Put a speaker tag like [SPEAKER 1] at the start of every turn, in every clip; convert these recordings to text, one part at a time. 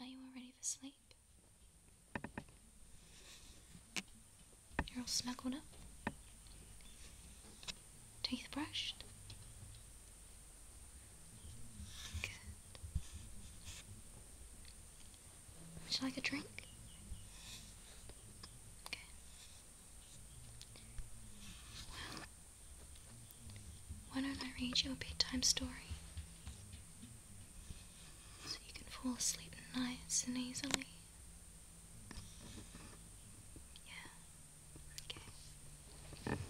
[SPEAKER 1] Are you all ready for sleep? You're all snuggled up? Teeth Would you like a drink? Why don't I read you a bedtime story? So you can fall asleep nice and easily. Yeah. Okay.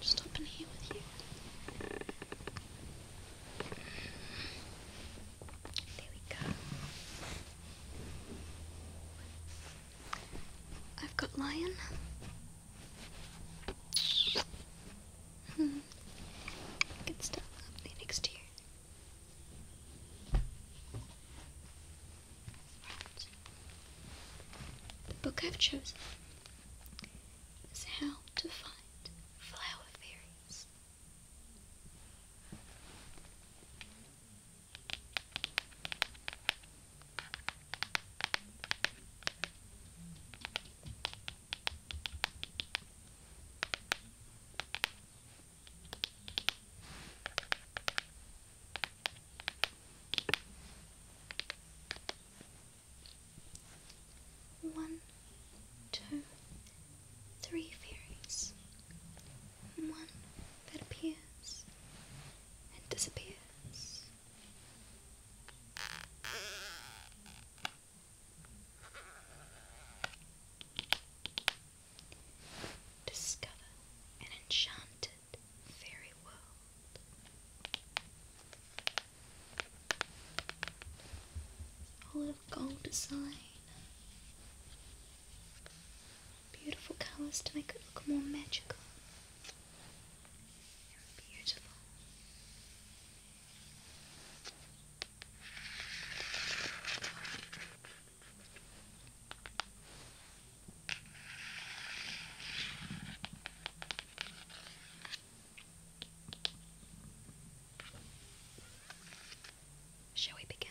[SPEAKER 1] Just up in here with you. There we go. I've got lion. Hmm. Good stuff happening next year. Right. The book I've chosen is How to Find Flower Fairies. One, two, three fairies. One, that appears and disappears. Discover an enchanted fairy world. All of gold design beautiful colours to make it look more magical beautiful. Shall we begin?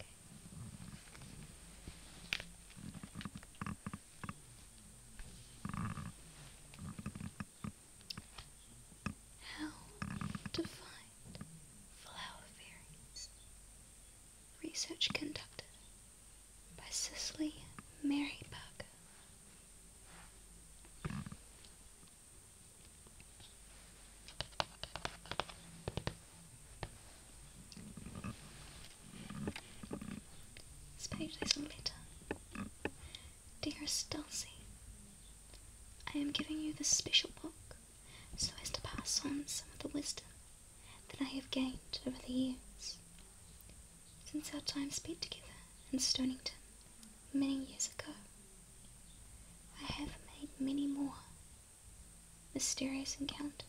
[SPEAKER 1] Okay. How to find flower fairies. Research conducted by Cicely Mary Buck. Spade days later. Dear Stilsey, I am giving you this special book so as to pass on some of the wisdom that I have gained over the years. Since our time spent together in Stonington many years ago, I have made many more mysterious encounters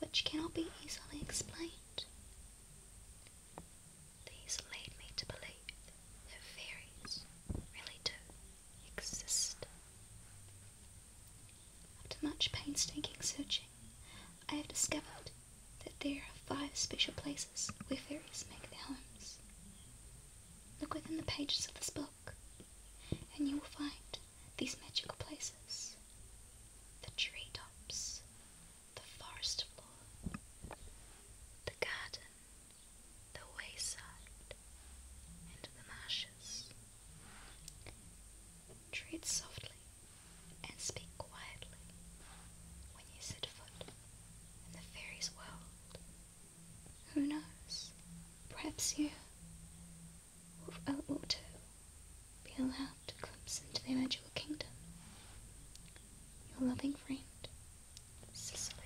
[SPEAKER 1] which cannot be easily explained. These lead me to believe that fairies really do exist. After much painstaking searching, I have discovered that there are five special places where fairies make their homes. Look within the pages of this book and you will find these magical places the tree tops, the forest floor, the garden, the wayside, and the marshes. Tread softly and speak quietly when you set foot in the fairy's world. Who knows? Perhaps you of El Auto be allowed to glimpse into the magical kingdom. Your loving friend, Cecily.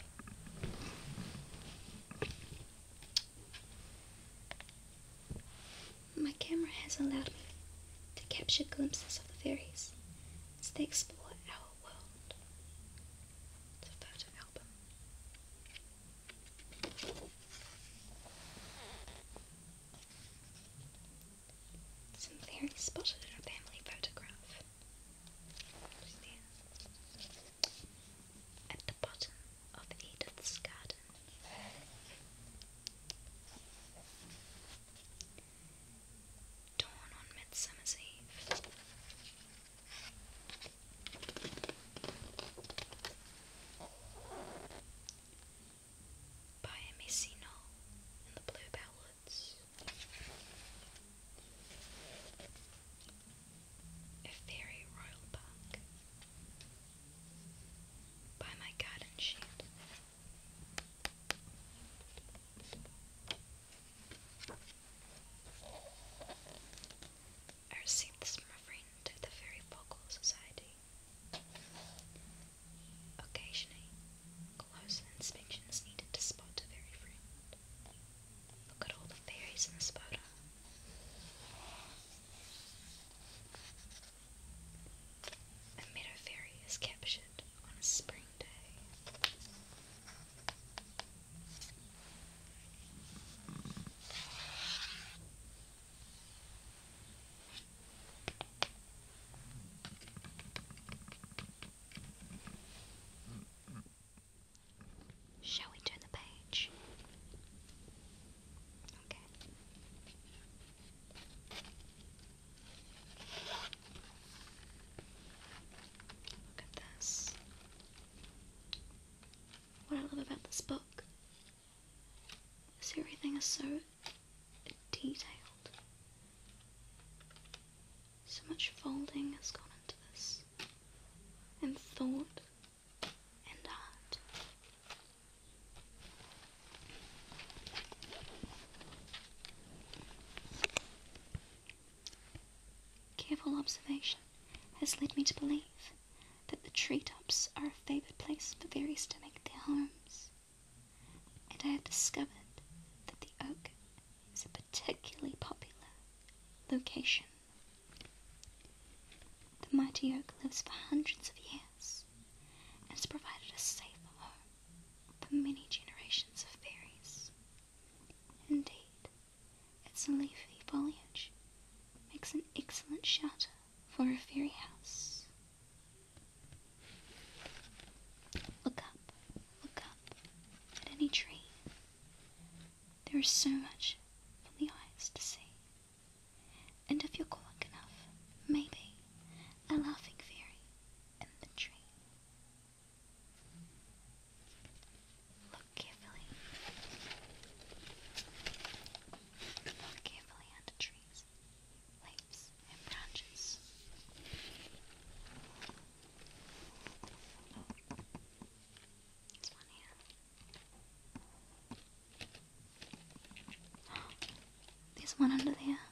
[SPEAKER 1] My camera has allowed me to capture glimpses of the fairies as they explore our world. The photo album. Some very spotted in a family photograph. At the bottom of Edith's garden. Dawn on Midsummer's Eve. Biomicino and the Blue Ballads. A Fairy Royal Park. By my garden shed are synths referring to the Fairy Vocal Society. Occasionally, close inspection needed to spot a fairy friend. Look at all the fairies in this photo. A meadow fairy is captured on a spring day. Shall we turn the page? Okay. Look at this. What I love about this book everything is so detailed. So much folding has gone into this, and thought and art. Careful observation has led me to believe that the treetops are a favored place for berries to make their homes, and I have discovered that the oak is a particularly popular location. The mighty oak lives for hundreds of years and has provided a safe home for many generations of berries. Indeed, its leafy foliage makes an excellent shelter for a fairy house. Look up, look up at any tree. There is so much for the eyes to see. And if you're quick enough, maybe a laughing fairy in the tree. Look carefully. Fall under trees, leaves, and branches. It's one here. There's one under there.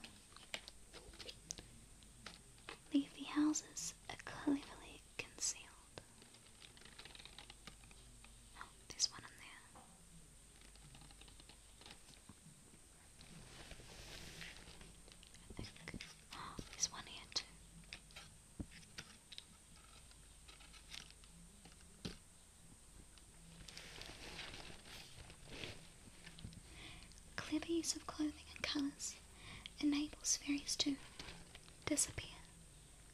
[SPEAKER 1] Leafy houses are cleverly concealed. Oh, there's one in there. I one here too. Clever use of clothing and colours enables fairies to disappear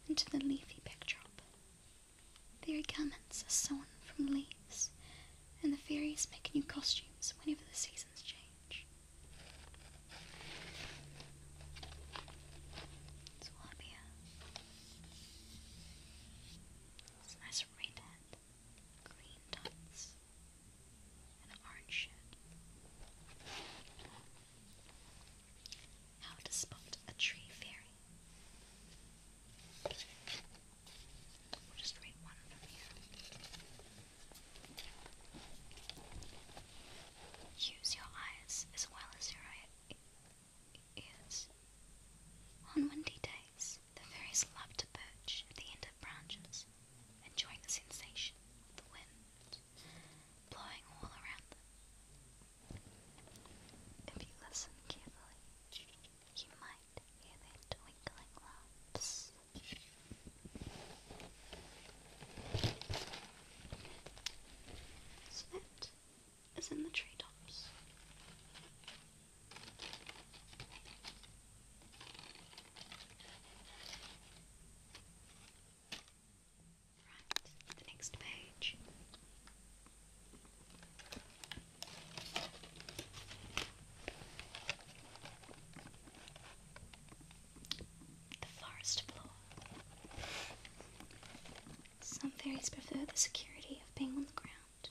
[SPEAKER 1] into the leafy backdrop their garments are sewn from leaves, and the fairies make new costumes whenever the seasons change. It's all up here. It's a nice red hat, green dots, and an orange shirt. How to spot a tree fairy. Use your eyes as well as your ears. On windy days, the fairies love to perch at the end of branches, enjoying the sensation of the wind blowing all around them. If you listen carefully, you might hear their twinkling laughs. Snoot is in the treetops. Right, the next page. The forest floor. Some fairies prefer the security of being on the ground,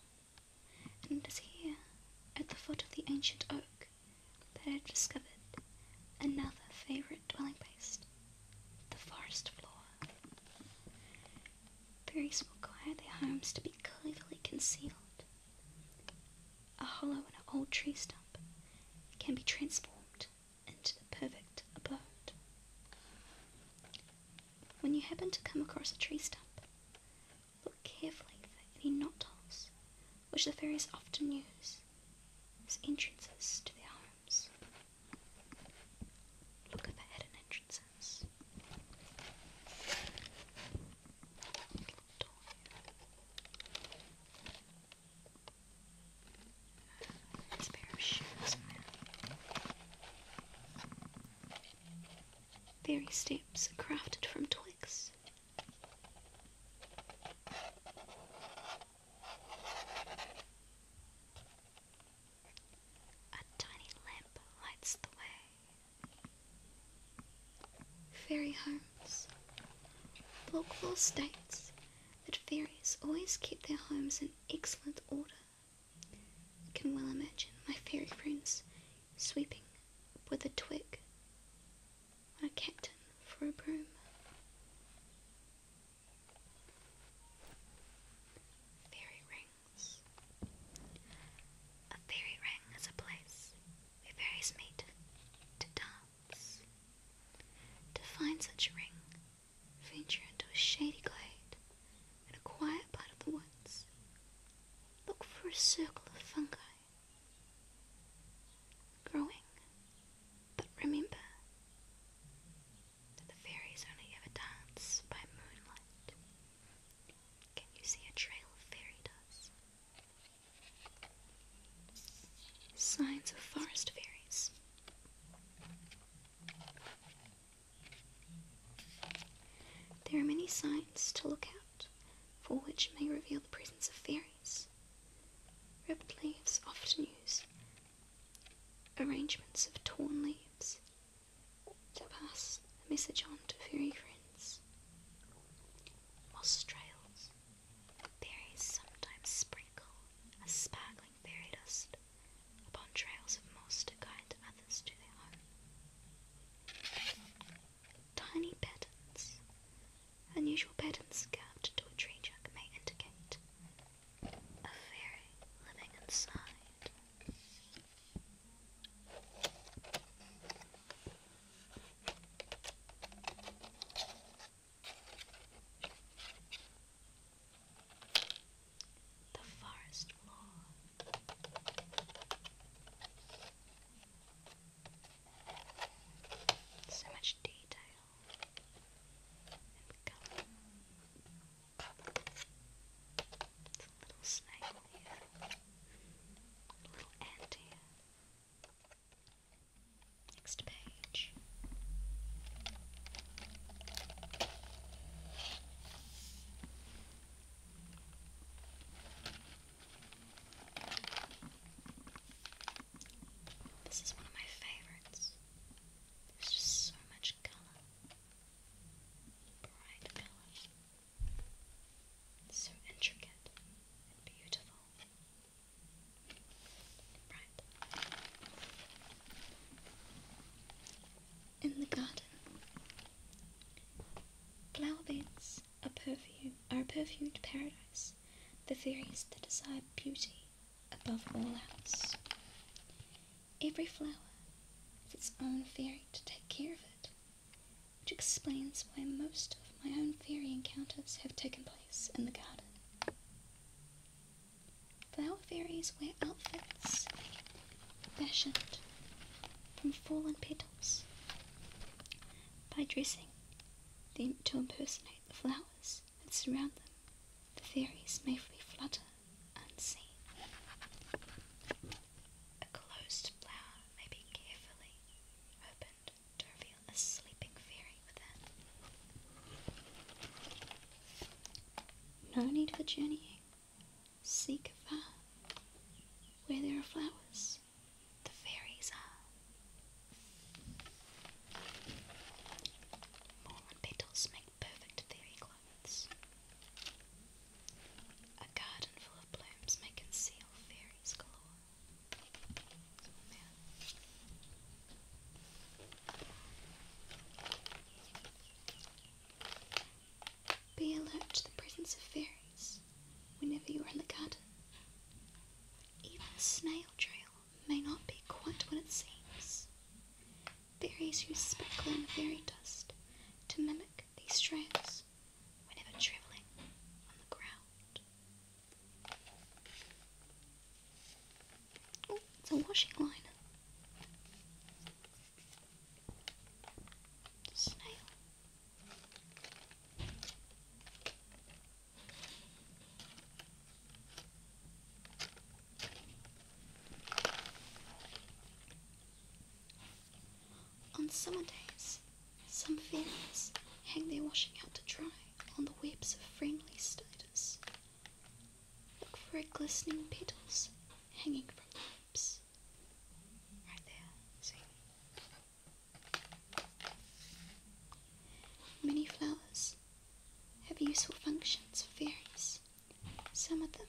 [SPEAKER 1] and it is here, at the foot of the ancient oak, that I discovered another favourite dwelling place the forest floor. Fairies will require their homes to be cleverly concealed. A hollow in an old tree stump can be transformed into the perfect abode. When you happen to come across a tree stump, look carefully for any knot holes, which the fairies often use as entrances to their homes. Look at the hidden entrances. Little door here. pair of shoes Fairy stamps crafted from twigs. A tiny lamp lights the way. Fairy homes. Folklore states that fairies always keep their homes in excellent order. I can well imagine my fairy friends sweeping with a twig on a captain for a broom. Fairy ring. A fairy ring is a place where fairies meet to dance. To find such a ring, venture into a shady glade in a quiet part of the woods. Look for a circle of fungi growing, but remember the fairies only ever dance by moonlight. Can you see a trail of fairy dust? Signs of forest fairies. There are many signs to look out for which may reveal the presence of fairies. Ripped leaves often use arrangements of torn leaves to pass a message on to fairy friends. Moss trails berries sometimes sprinkle as sparkling fairy dust upon trails of moss to guide others to their home. Tiny patterns, unusual patterns carved into a tree trunk may indicate a fairy living inside. The forest floor. So much detail and color. It's a little snake here. A little ant here. Next page. This is one of my favorites. There's just so much color, bright colors, so intricate and beautiful, right? In the garden, flower beds are perfume are a perfumed paradise for fairies that desire beauty above all else. Every flower has its own fairy to take care of it, which explains why most of my own fairy encounters have taken place in the garden. Flower fairies wear outfits fashioned from fallen petals by dressing them to impersonate the flowers that surround them. The fairies may freely flutter unseen. A closed flower may be carefully opened to reveal a sleeping fairy within. No need for journeying. Seek afar. Where there are flowers, the fairies are. Mormon petals make perfect theory clothes. A garden full of blooms may conceal fairies galore. Be alert to the presence of fairies whenever you are in the garden. Even the snail trail may not be quite what it seems. Fairies use speckling fairy dust to mimic these trails whenever traveling on the ground. Oh, it's a washing line. Snail. On summer days, some fairies hang their washing out to dry on the webs of friendly status. Look for glistening petals hanging from the lips. Many flowers have useful functions for fairies some of them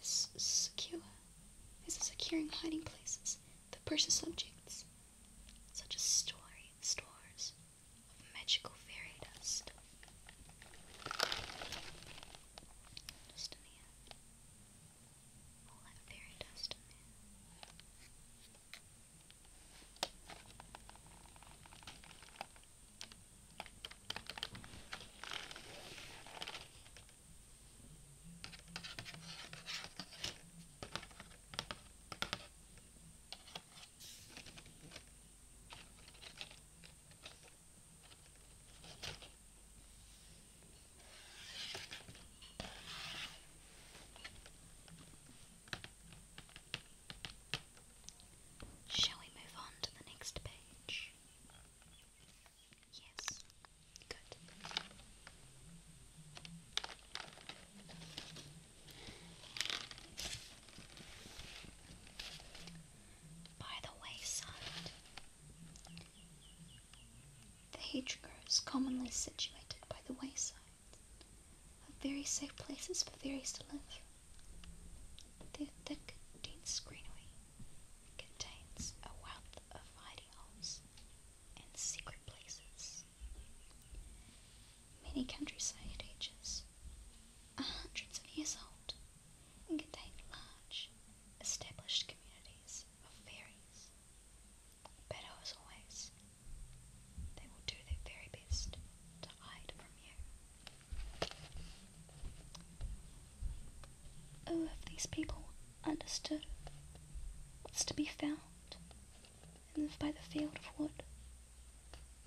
[SPEAKER 1] is secure is securing hiding places the precious objects, such as story stores of magical fairy dust. Shall we move on to the next page? By the wayside, the hedgerow commonly situated by the wayside, are very safe places for fairies to live. The thick, dense greenery contains a wealth of hiding holes and secret places. Many countryside ages are hundreds of years old and contain large, established communities of fairies. But as always, they will do their very best to hide from you. Oh, if these people understood what's to be found in the, by the field of wood,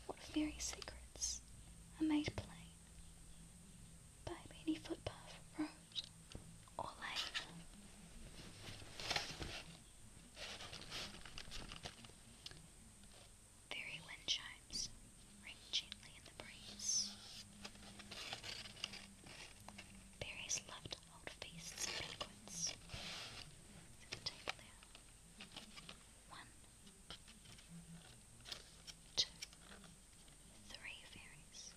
[SPEAKER 1] what fairy secrets are made plain by any footpath, road, or lane. Fairy wind chimes ring gently in the breeze. Berries love to hold and banquets. One, two, three fairies.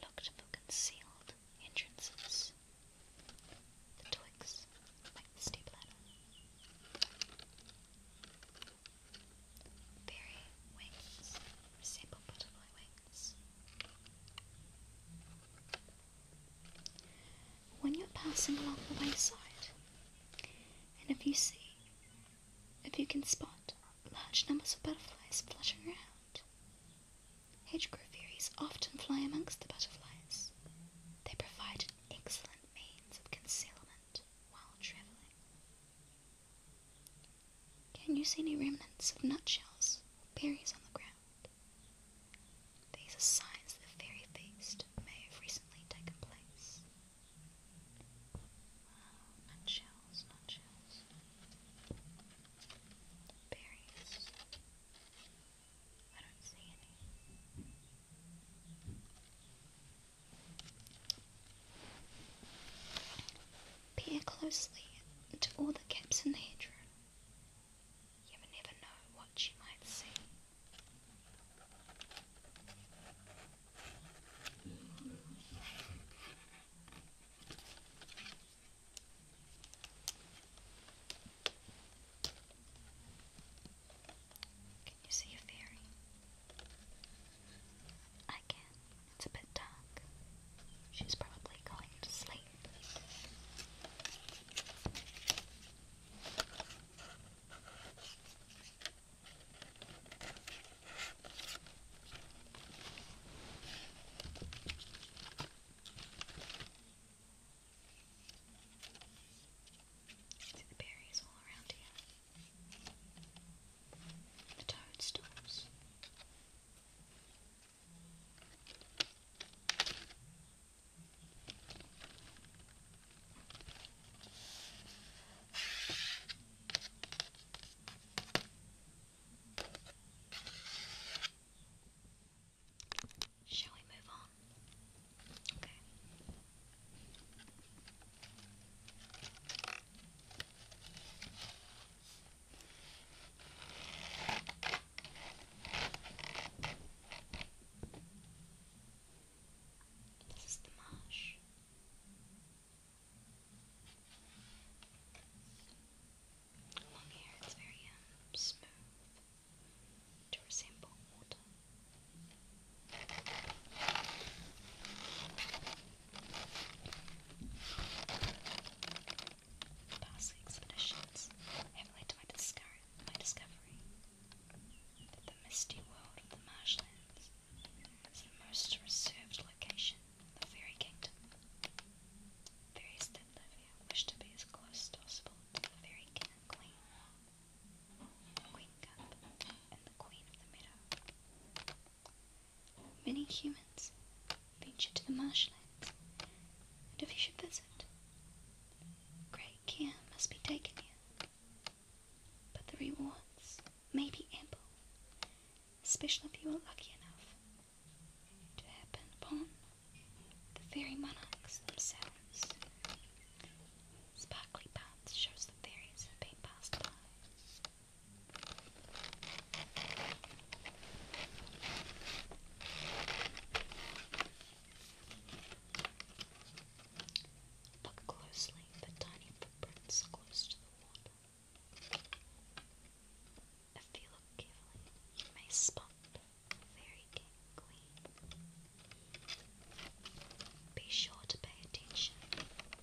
[SPEAKER 1] Looked for concealed entrances. The twigs the step ladder. Berry wings resemble butterfly wings. When you're passing along the wayside, and if you see, if you can spot large numbers of butterflies fluttering around, hedgerow fairies often fly amongst the butterflies. They provide an excellent means of concealment. Can you see any remnants of nutshells or berries on the ground? These are signs that the fairy feast may have recently taken place. nutshells, nutshells, berries. I don't see any. Peer closely into all the gaps in the hedgerow. You will never know what you might see. Can you see a fairy? I can. It's a bit dark. She's probably going to sleep. See the berries all around here the toadstools. Shall we move on? Okay. This is the marsh. Along here, it's very um, smooth resemble water. Past expeditions have led to my, discover my discovery that the misty world of the marshlands is the most reserved location the fairy kingdom. Fairies that wish to be as close as possible to the fairy king Queen Cup, and the Queen of the Meadow. Many humans venture to the marshlands, and if you should visit, great care must be taken here. But the rewards may be ample, especially if you are lucky enough to happen upon the fairy monarchs themselves. Sparkly paths shows the fairies have been passed by. Look closely for tiny footprints close to the water. If you look carefully, you may spot the fairy Be sure to pay attention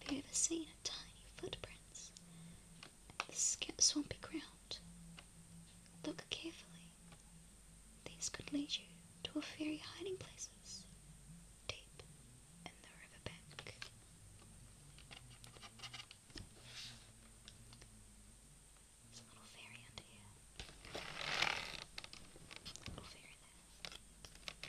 [SPEAKER 1] appeared a scene of tiny footprints in the swampy ground. Look carefully. These could lead you to a fairy hiding place, deep in the river bank. a little fairy under here. Little fairy there.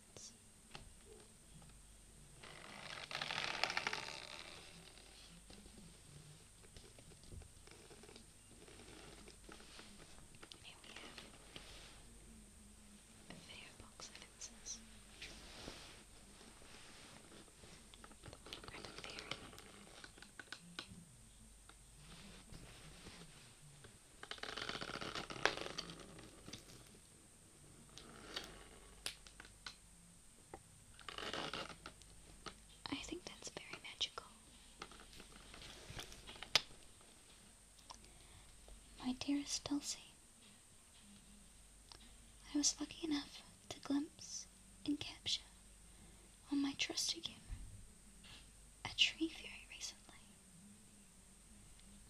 [SPEAKER 1] happens. Here we have a video box of incense. I think that's very magical. My dearest Dulcie, I was lucky enough to glimpse and capture on my trusty camera a tree fairy recently.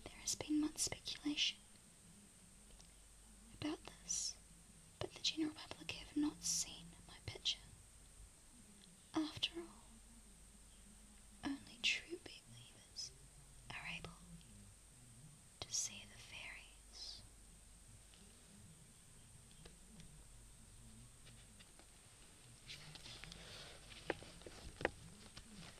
[SPEAKER 1] There has been much speculation about this, but the general public have not seen my picture. After all, only true believers are able to see the fairies.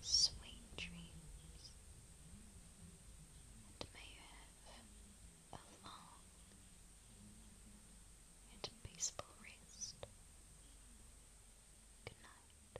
[SPEAKER 1] Sweet dreams, and may you have a long and peaceful rest. Good night.